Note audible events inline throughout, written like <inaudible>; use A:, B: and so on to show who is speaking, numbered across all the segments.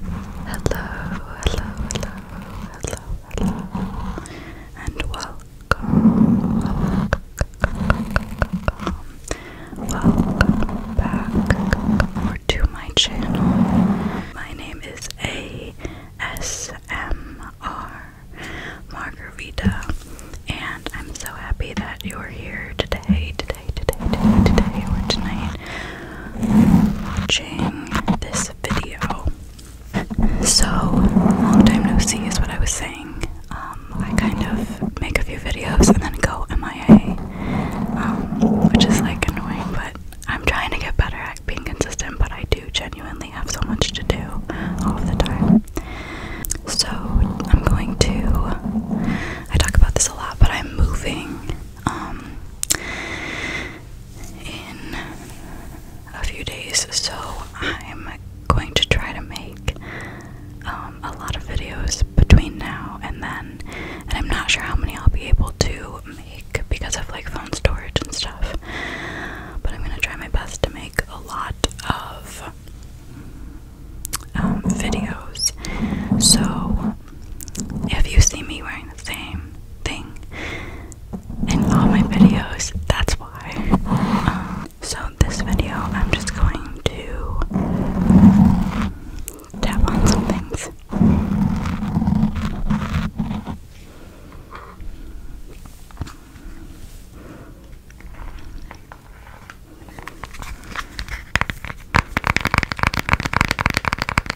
A: hello, hello, hello, and welcome, welcome, welcome back or to my channel. My name is ASMR Margarita, and I'm so happy that you're here today, today, today, today, today, or tonight watching this video. So, long time no see is what I was saying. Um, I kind of make a few videos and then go MIA, um, which is like annoying, but I'm trying to get better at being consistent, but I do genuinely have so much to do all of the time. So, I'm going to. I talk about this a lot, but I'm moving um, in a few days, so I'm going to try to make um, a lot of videos between now and then, and I'm not sure how many I'll be able to make because of like phone storage and stuff, but I'm gonna try my best to make a lot of um, videos. So, if you see me wearing the same thing in all my videos, that's why. so, this video, I'm just going to tap on some things.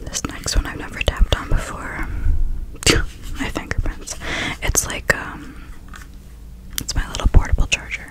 A: This next one I've never tapped on before. <laughs> my fingerprints. It's like um it's my little portable charger.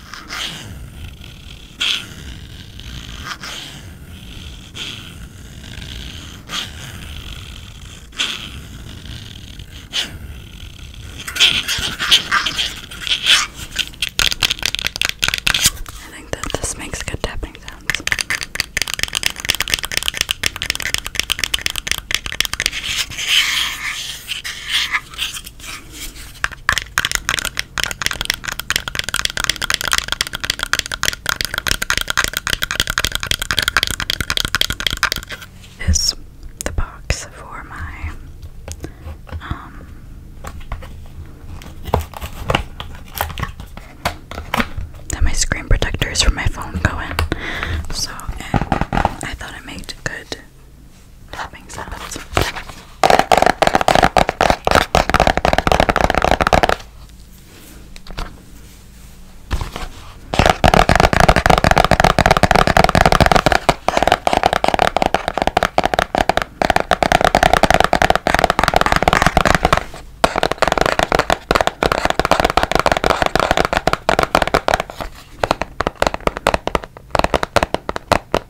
A: I think that this makes good tapping sounds. Is the box for my um that my screen protector is for my phone going. So I thought I made good tapping sounds.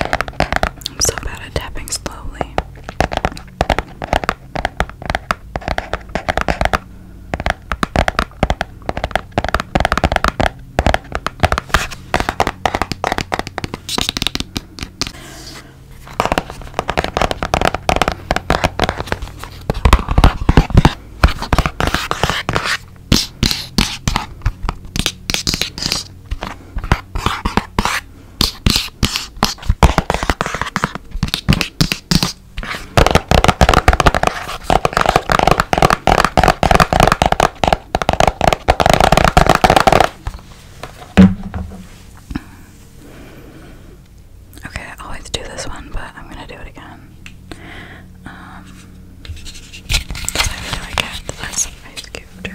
A: I'm so bad at tapping slowly. Okay, I always do this one, but I'm gonna do it again. Um, because I really like it. That's ice cube.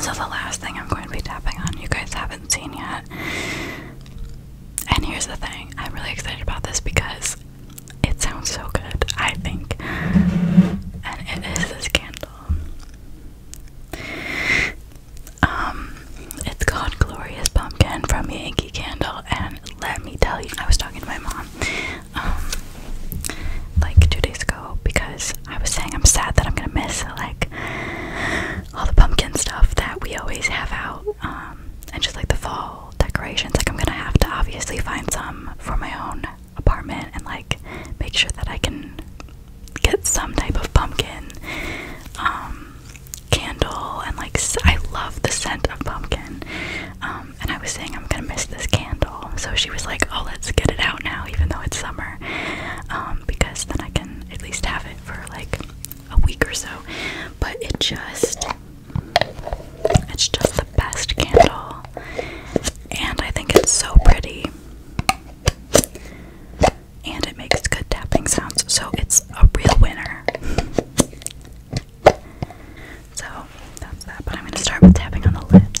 A: So, the last thing I'm going to be tapping on, you guys haven't seen yet. And here's the thing I'm really excited about this because it sounds so good, I think. And it is this candle. Um, it's called Glorious Pumpkin from Yankee Candle. And let me tell you, I was talking to my mom um, like two days ago because I was saying I'm sad that I'm gonna miss like all the pumpkin stuff that we always have out, um, and just like the fall decorations. Like I'm gonna have to obviously find some for my own apartment and like make sure that I can get some type of pumpkin um, candle and like I love the scent of pumpkin. Um, and I was saying I'm gonna miss this candle, so she was like, "Oh, let's get it out now, even though it's summer." Um, because then I can at least have it for like a week or so. But it just, it's just the best candle, and I think it's so pretty, and it makes good tapping sounds, so it's a real winner. So that's that, but I'm going to start with tapping on the lid.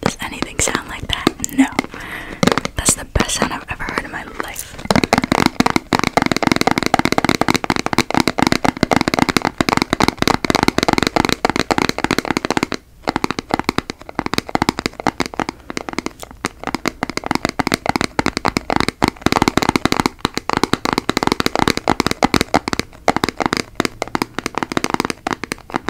A: Does anything sound like that? No. That's the best sound I've ever heard in my life.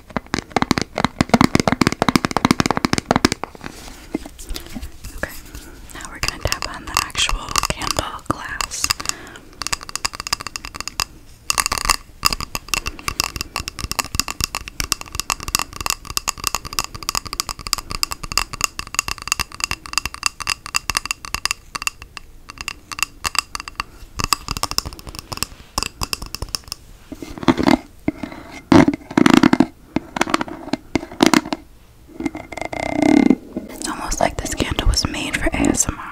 A: Okay, now we're going to tap on the actual candle glass. It's almost like this candle was made for ASMR.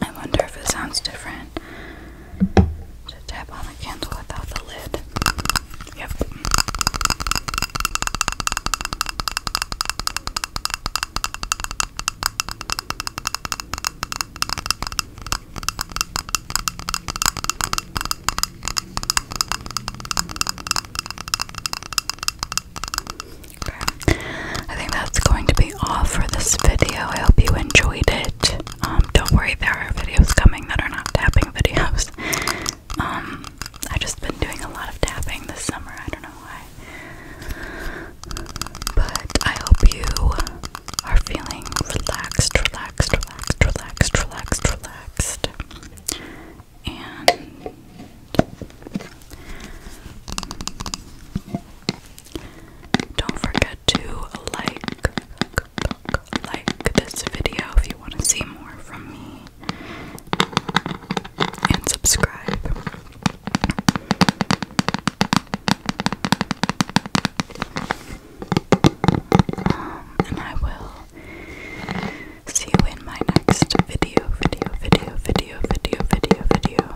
A: I wonder if it sounds different tap on on a without the lid. Yep. Okay. I think that's going to be all for this video. I hope you enjoyed it. Um, don't worry, there are videos coming that are not tapping videos. Um, I've just been doing a lot of tapping this summer. I don't know why. But I hope you are feeling relaxed, relaxed, relaxed, relaxed, relaxed, relaxed. And don't forget to like, like this video if you want to see more from me, and subscribe. Um, and I will see you in my next video, video, video, video, video, video, video.